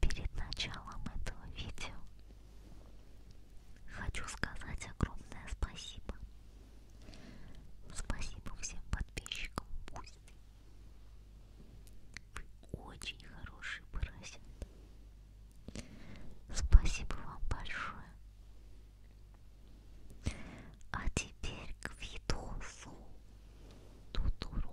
Перед началом этого видео хочу сказать огромное спасибо. Спасибо всем подписчикам Бусти. Вы очень хороший поросят. Спасибо вам большое. А теперь к видосу. Тутуру.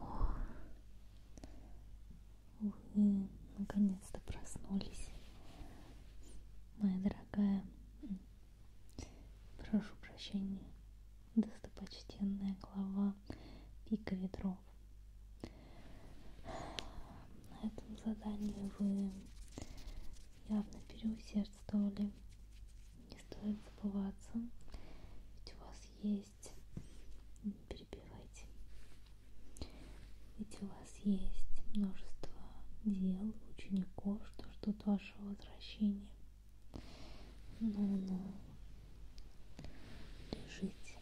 О, вы наконец-то проснулись, моя дорогая. Прошу прощения достопочтенная глава Пика Ветров. На этом задании вы явно переусердствовали. Не стоит забываться, ведь у вас есть... Не перебивайте. Ведь у вас есть множество дел, учеников, что ждут вашего возвращения. Ну-ну, лежите.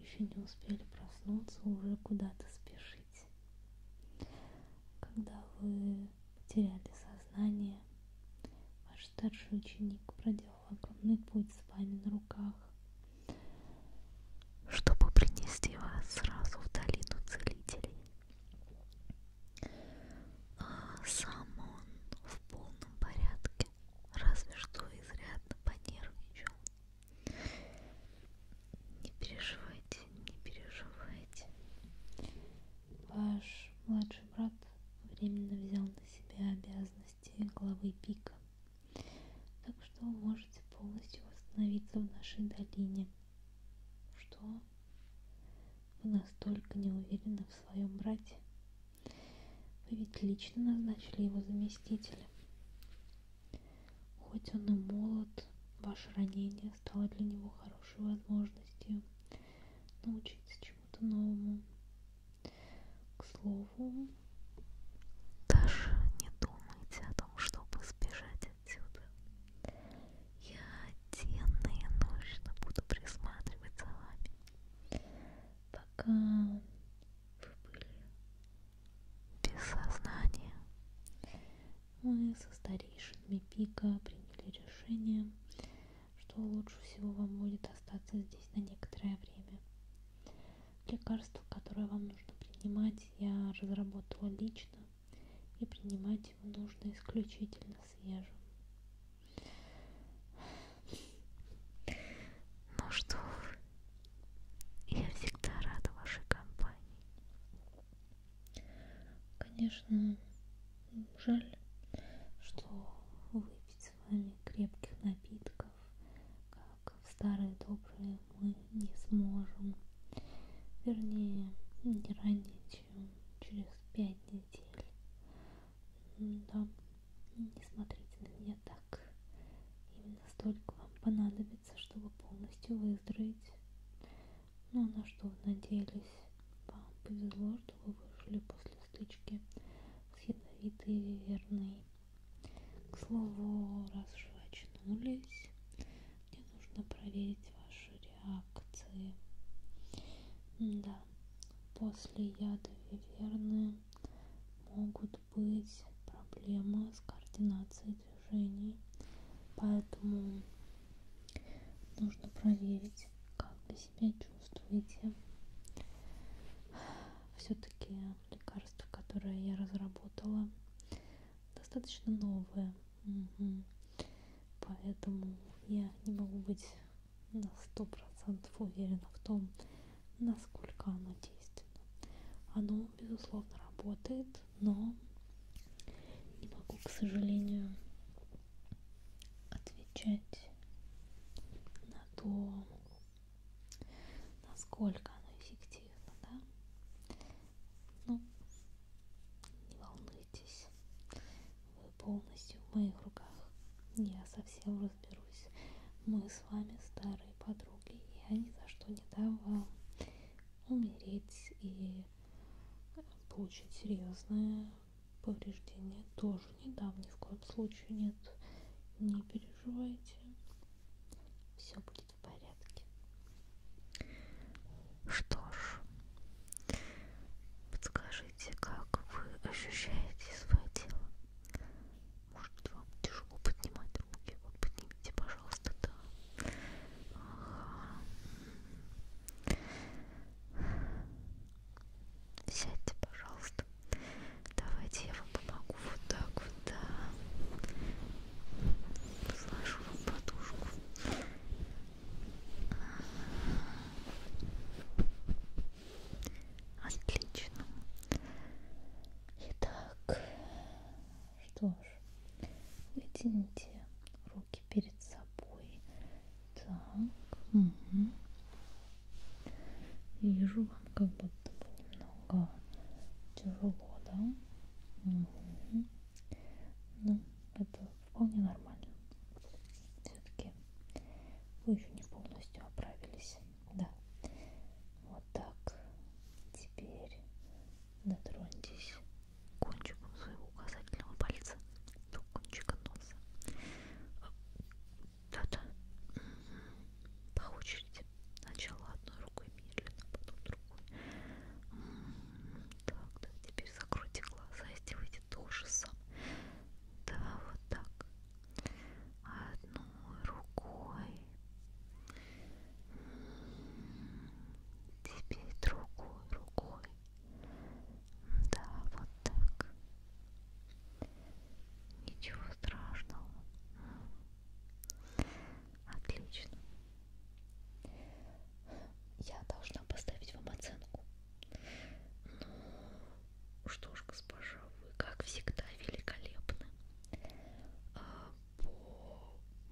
Еще не успели проснуться, уже куда-то спешите. Когда вы потеряли сознание, ваш старший ученик проделал огромный путь с вами на руках, чтобы принести вас сразу в долину целителей. А сам он в полном порядке, разве что изрядно понервничал. Не переживайте, не переживайте. Ваш младший брат временно взял на себя обязанности главы пика. Так что вы можете полностью восстановиться в нашей долине. Что? Вы настолько не уверены в своем брате. Вы ведь лично назначили его заместителем. Хоть он и молод, ваше ранение стало для него хорошей возможностью научиться чему-то новому. К слову, даже не думайте о том, чтобы сбежать отсюда. Я денно и ночно буду присматривать за вами, пока вы были без сознания. Мы со старейшинами Пика приняли решение, что лучше всего вам будет остаться здесь на некоторое время. Лекарства, которые вам нужно принимать, я разработала лично и принимать его нужно исключительно свежим. Ну что вы, я всегда рада вашей компании. Конечно, жаль, что выпить с вами крепких напитков, как в старые добрые, мы не сможем. Вернее, не ранее, через пять недель. Ну да, ну, не смотрите на меня так. Именно столько вам понадобится, чтобы полностью выздороветь. Но ну, а на что вы надеялись? Вам повезло, что вы вышли после стычки с ядовитой верной. К слову, раз уж вы очнулись, мне нужно проверить ваши реакции. Да, после яда виверны могут быть проблемы с координацией движений, поэтому нужно проверить, как вы себя чувствуете. Все-таки лекарства, которые я разработала, достаточно новые. Угу. Поэтому я не могу быть на сто процентов уверена в том, насколько оно действенно. Оно, безусловно, работает, но не могу, к сожалению, отвечать на то, насколько оно эффективно, да? Ну, не волнуйся беспокойтесь. Вы полностью в моих руках. Я совсем разберусь. Мы с вами старые подруги. Я ни за что не дам вам умереть и получить серьезное повреждение. Тоже не дам ни в коем случае. Нет, не переживайте. Все будет в порядке. Что ж, подскажите, как вы ощущаете свое тело? Может, вам тяжело поднимать руки? Вот поднимите, пожалуйста, да. Ага. Сядьте, пожалуйста. Давайте я вам помогу вот так вот, да. Сложу вам подушку. Отлично. Итак, что ж, вытяните руки перед собой. Так, угу. Вижу вам как будто было много тяжело, да? Угу. Ну, это вполне нормально. Все-таки вы еще не полностью оправились. Да. Вот так. Теперь дотроньтесь кончиком своего указательного пальца до кончика носа. Да-да. По очереди. Сначала одной рукой медленно, потом другой. Так, да, теперь закройте глаза и сделайте то же самое. Да, вот так. Одной рукой. Теперь другой рукой. Да, вот так. Ничего страшного. Отлично. Я должна поставить вам оценку. Ну, что ж, госпожа, вы, как всегда, великолепны. А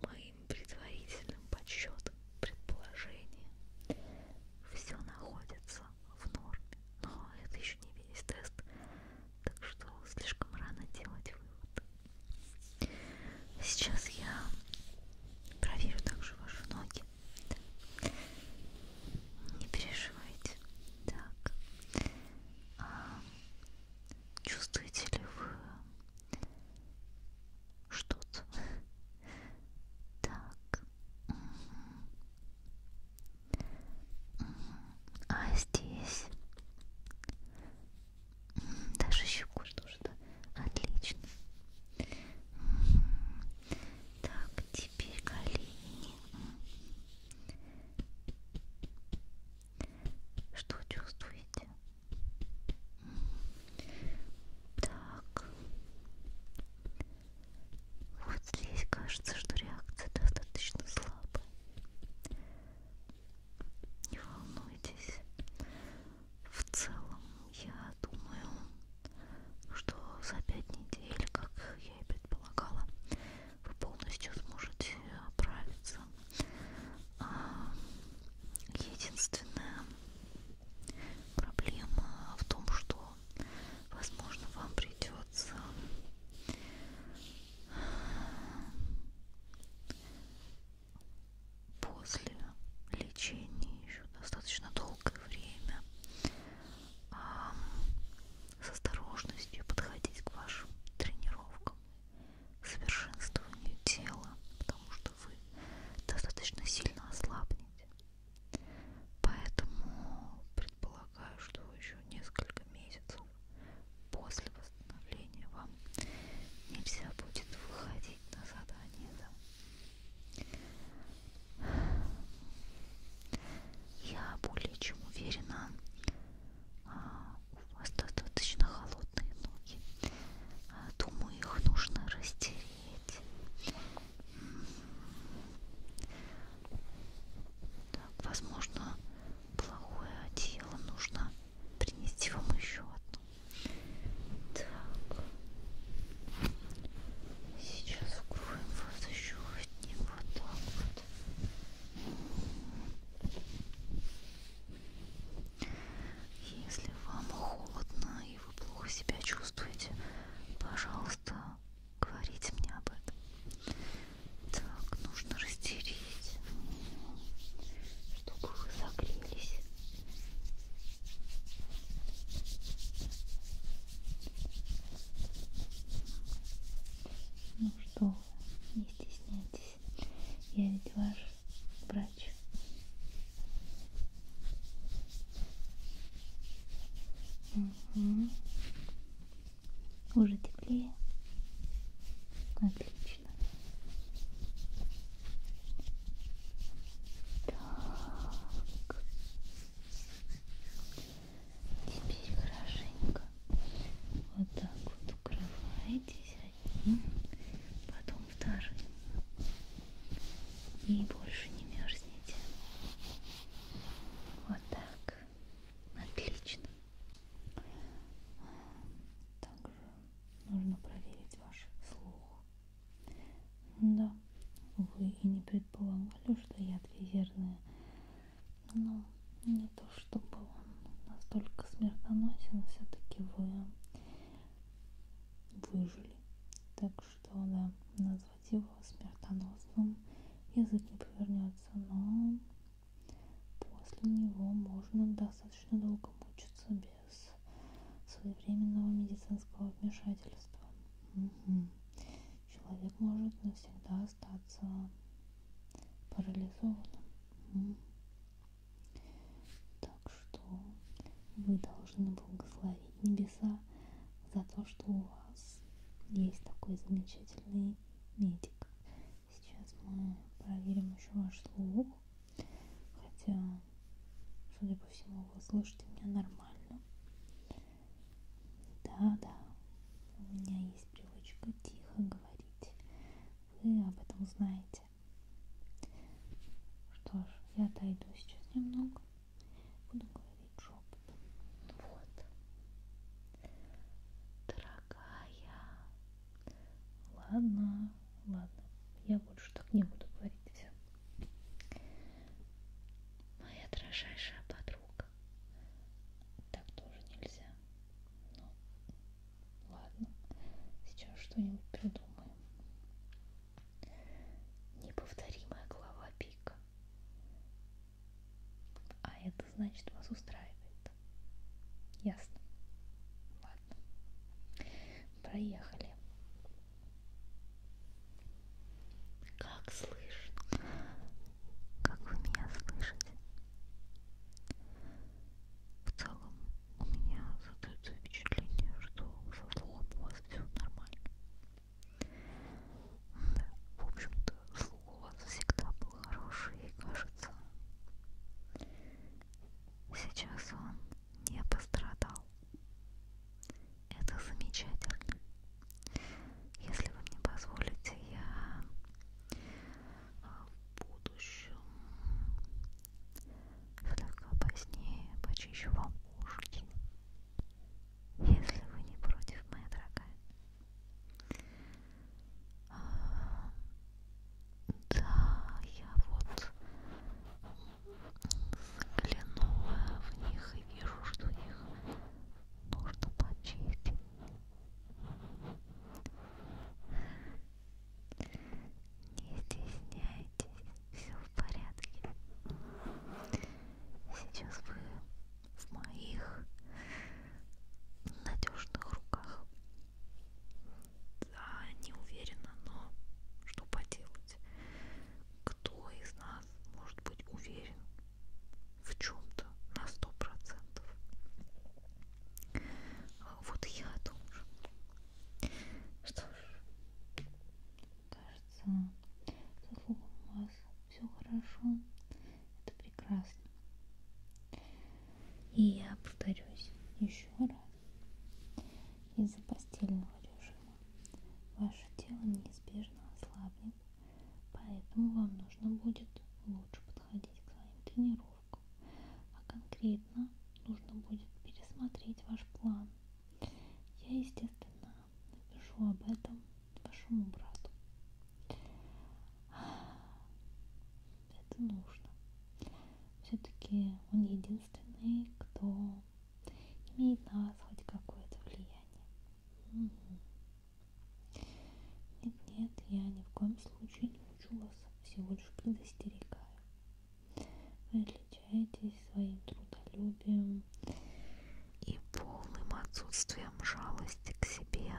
по моим предварительным подсчетам, предположениям, все находится в норме. Но это еще не весь тест, так что слишком рано делать вывод. Сейчас я проверю также ваши ноги. Да. Не переживайте. Так. А, чувствуете ли вы что-то? Так. А здесь? Даже щеку что-то. Отлично. Так, теперь колени. Что чувствуете? Так. Вот здесь кажется, что реакция достаточно слабая. Не волнуйтесь в целом я думаю, что за пять недель, как я и предполагала, вы полностью сможете оправиться. А, единственная проблема в том, что, возможно, вам придется после лечения еще достаточно долгое время а, с осторожностью подходить к вашим тренировкам, совершенствованию тела, потому что вы достаточно сильно ослабнете. Поэтому предполагаю, что еще несколько месяцев после восстановления вам нельзя будет выходить на задание. Да? Я более чем уверена, а, у вас достаточно холодные ноги. А, думаю, их нужно растереть. Так, возможно, плохое одеяло нужно принести вам еще одно. Так. Сейчас вкроем вас еще одним вот так вот. Если вам холодно и вы плохо себя чувствуете, пожалуйста, говорите мне об этом. Так, нужно растереть, чтобы вы согрелись. Ну что, не стесняйтесь, я ведь ваш врач. Угу. Уже теплее. Отлично отлично. Так. Теперь хорошенько вот так вот укрываетесь одним, потом вторым. И больше не мерзнете. Вот так. Отлично. Также нужно проверить ваш слух. Да, вы и не предполагали, что яд визерный, но не то чтобы он настолько смертоносен, все-таки вы выжили. Так что, да, назвать его смертоносным язык не повернется, но после него можно достаточно долго мучиться без своевременного медицинского вмешательства. Угу. Человек может навсегда остаться парализованным. Угу. Так что вы должны благословить небеса за то, что у вас есть такой замечательный медик. Сейчас мы проверим еще ваш слух. Хотя, судя по всему, вы слышите меня нормально. Да-да, у меня есть привычка тихо говорить. Вы об этом знаете. Что ж, я отойду сейчас немного. Буду говорить шепотом. Вот. Дорогая, Ладно, ладно, я больше так не буду говорить. Все. Моя дрожайшая подруга. Так тоже нельзя. Ну, ладно, сейчас что-нибудь придумаем. Неповторимая глава пика. А это значит вас устраивает. Ясно. Ясно. Ладно. Проехали. Как слышно? Как вы меня слышите? В целом у меня создается впечатление, что со слухом у вас все нормально. Да, в общем-то, слух у вас всегда был хороший и кажется, Сейчас он не пострадал. Это замечательно. Если вы мне позволите, я а, в будущем слегка позднее почищу вам ушки. Если вы не против, моя дорогая. Да, я вот взглянула в них и вижу, что их нужно почистить. Не стесняйтесь, все в порядке. Сейчас вы в моих надежных руках. Да, не уверена, но что поделать? Кто из нас может быть уверен в чем-то на сто процентов? Вот я тоже. Что ж, кажется, заслугам вас все хорошо. Это прекрасно. И я повторюсь еще раз. Из-за постельного режима ваше тело неизбежно ослабнет, поэтому вам нужно будет лучше подходить к своим тренировкам. А конкретно нужно будет пересмотреть ваш план. Я, естественно, напишу об этом вашему брату это нужно. Все-таки он единственный, кто имеет на вас хоть какое-то влияние. Угу. Нет, нет, я ни в коем случае не учу вас, всего лишь предостерегаю. Вы отличаетесь своим трудолюбием и полным отсутствием жалости к себе.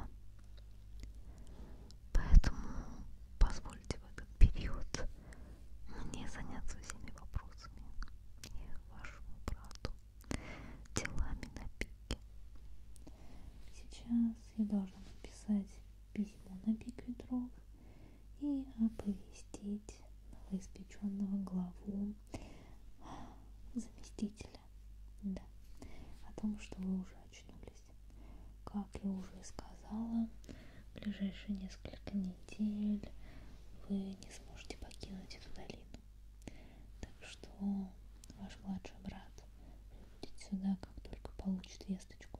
Поэтому позвольте в этот период мне заняться всеми вопросами и вашему брату делами на пике. Сейчас я должна написать письмо на пик ветров и оповестить новоиспеченного главу заместителя да, о том, что вы уже очнулись закончились. Как я уже сказала, в ближайшие несколько недель вы не сможете покинуть эту долину. Так что ваш младший брат прибудет сюда, как только получит весточку.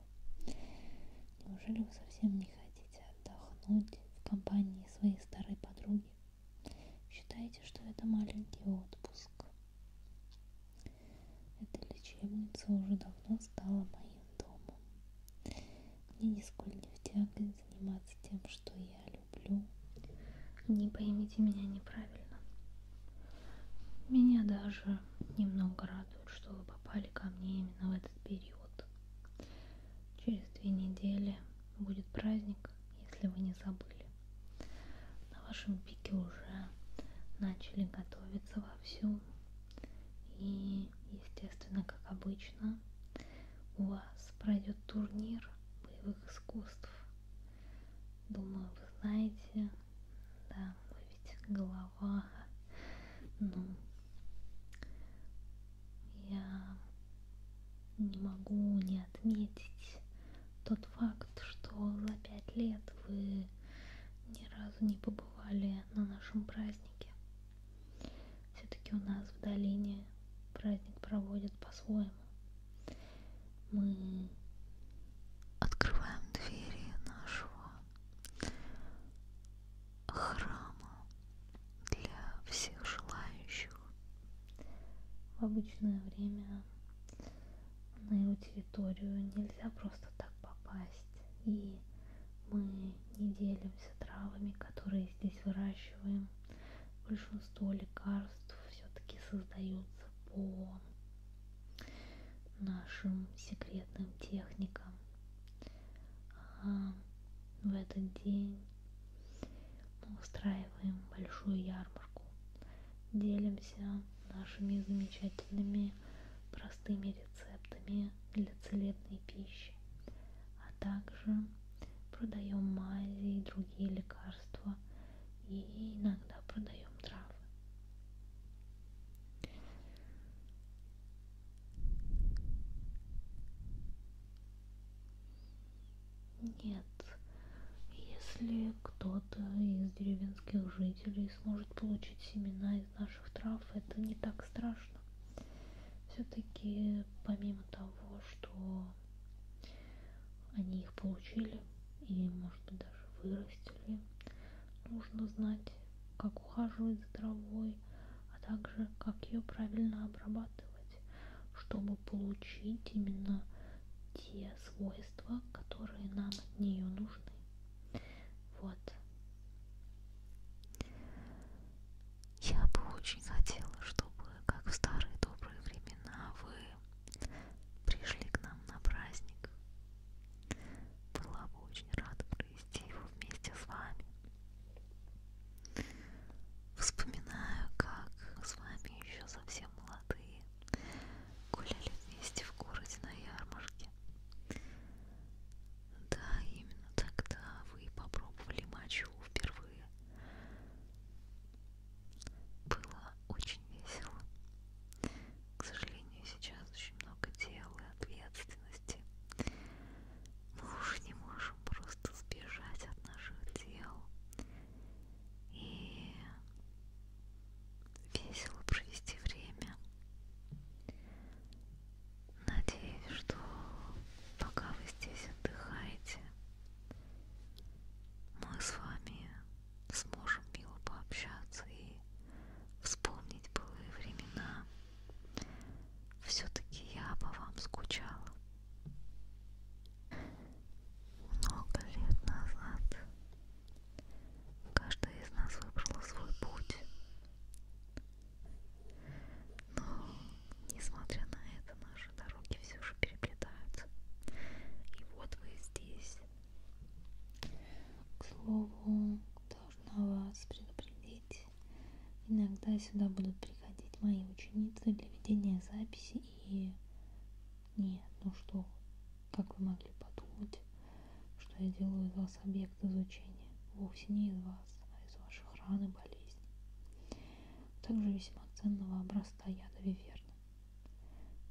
Неужели вы совсем не хотите отдохнуть в компании своей старой подруги? Считаете, что это маленький отпуск? Эта лечебница уже давно стала моим домом. Мне нисколько не втягивает заниматься тем, что я люблю. Не поймите меня неправильно. Меня даже немного радует, что вы попали ко мне именно в этот период. Через две недели будет праздник, если вы не забыли на вашем пике уже начали готовиться вовсю. И, естественно, как обычно, у вас пройдет турнир боевых искусств. Думаю, вы знаете, да, вы ведь голова, ну, я не могу не отметить тот факт, что за пять лет вы ни разу не побывали на нашем празднике. Все-таки у нас в долине праздник проводят по-своему. Мы открываем двери нашего храма для всех желающих. В обычное время на его территорию нельзя просто так попасть. И мы не делимся травами, которые здесь выращиваем. Большинство лекарств все-таки создаются по нашим секретным техникам. А в этот день мы устраиваем большую ярмарку делимся нашими замечательными простыми рецептами для целебной пищи, а также продаем мази и другие лекарства и иногда продаем травы. Нет, нет. Если кто-то из деревенских жителей сможет получить семена из наших трав, это не так страшно. Все-таки помимо того, что они их получили и, может быть, даже вырастили, нужно знать, как ухаживать за травой, а также как ее правильно обрабатывать, чтобы получить именно те те свойства, которые нам от нее нужны. Вот. Я бы очень хотела, чтобы, как в старые добрые времена, вы пришли к нам на праздник. Была бы очень рада провести его вместе с вами. Вспоминаю, как с вами еще совсем молодые гуляли вместе в городе на ярмарке. Да, именно тогда вы попробовали мочу впервые. Было очень весело. К сожалению, сейчас очень много дел и ответственности. Мы уж не можем просто сбежать от наших дел и весело провести время. Надеюсь, что пока вы здесь отдыхаете, мы с вами сможем мило пообщаться и вспомнить былые времена. Все-таки я по вам скучала. Много лет назад каждая из нас выбрала свой путь. Но, несмотря на это, наши дороги все же переплетаются. И вот вы здесь. К слову, должна вас предупредить. Иногда сюда будут приходить мои ученицы для ведения записи и нет, ну что, как вы могли подумать, что я делаю из вас объект изучения? Вовсе не из вас, а из ваших ран и болезней. Также весьма ценного образца яда виверна.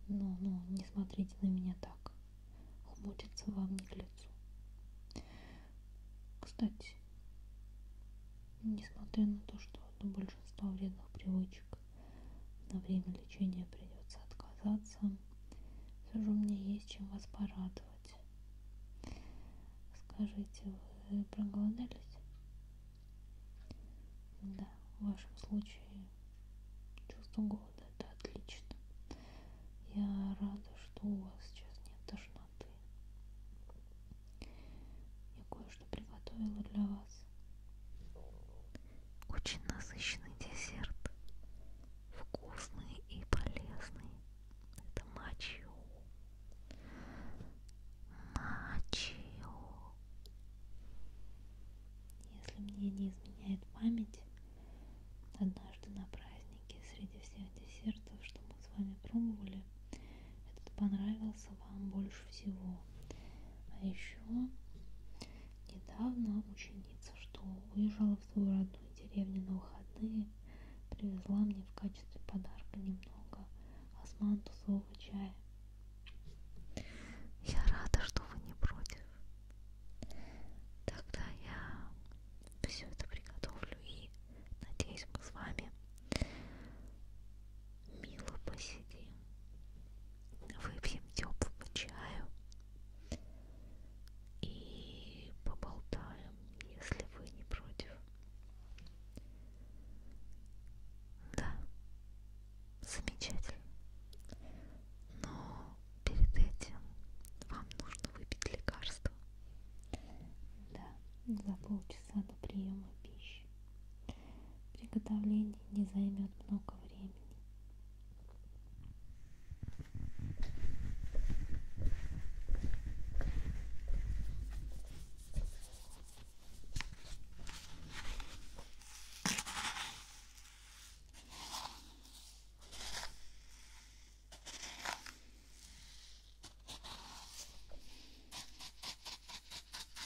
Ну, ну, не смотрите на меня так. Хмутится вам не к лицу. Кстати, несмотря на то, что до большинства вредных привычек на время лечения придется отказаться. Все же у меня есть чем вас порадовать. Скажите, вы проголодались? Да, в вашем случае чувство голода это отлично. Я рада, что у вас сейчас нет тошноты. Я кое-что приготовила для вас. Очень насыщенный десерт. Вкусный и полезный. Это мачио. Мачио. Если мне не изменяет память, однажды на празднике среди всех десертов, что мы с вами пробовали, этот понравился вам больше всего. А еще недавно ученица, что уезжала в свою родную деревню на выходные, привезла мне в качестве подарка немного османтусового чая. Я рада, что вы не против. Тогда я все это приготовлю и надеюсь, мы с вами мило посидим, выпьем теплого чаю и поболтаем, если вы не против. Да, замечательно. Но перед этим вам нужно выпить лекарство. Да, за полчаса до приема пищи. Приготовление не займет много времени.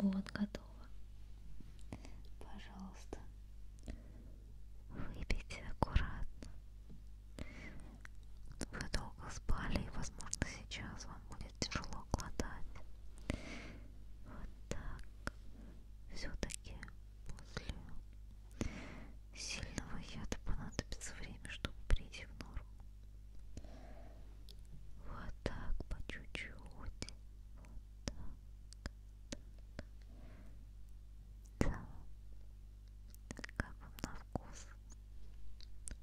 Вот, готово. Пожалуйста, выпейте аккуратно. Вы долго спали, и, возможно, сейчас вам будет тяжело глотать. Вот так. Все-таки после сильного яда понадобится время, чтобы прийти в норму. Вот так по чуть-чуть. Вот так. Да. Как вам на вкус?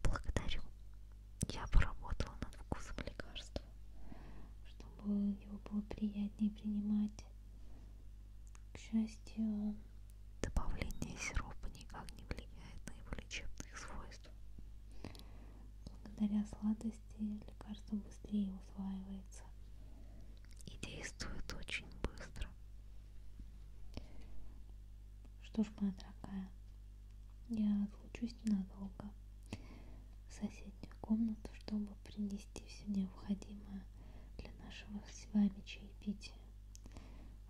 Благодарю. Я поработала над вкусом лекарства, чтобы его было приятнее принимать. К счастью, добавление сиропа никак не влияет на его лечебные свойства лекарства. Благодаря сладости лекарство быстрее усваивается и действует очень быстро. Что ж, моя дорогая, я отлучусь ненадолго в соседнюю комнату, чтобы принести все необходимое для нашего с вами чаепития.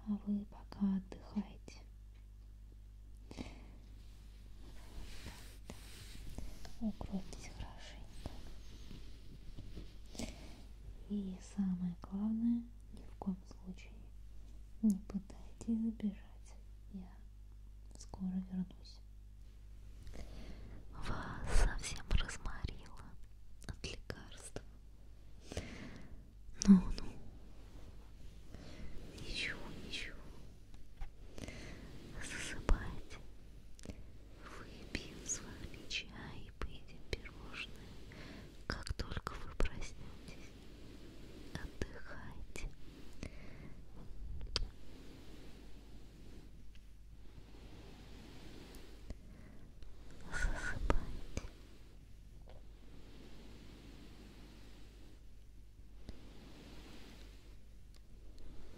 А вы пока отдыхайте. Укройтесь хорошенько. И самое главное, ни в коем случае не пытайтесь забежать. Я скоро вернусь. Вас совсем разморило от лекарства. Ну, ну. Ничего, ничего. Засыпайте. Выпьем с вами чай и поедим пирожные. Как только вы проснетесь, отдыхайте. Засыпайте.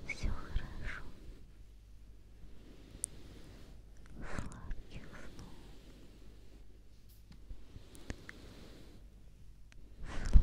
Все хорошо. Сладких снов. Сладких снов.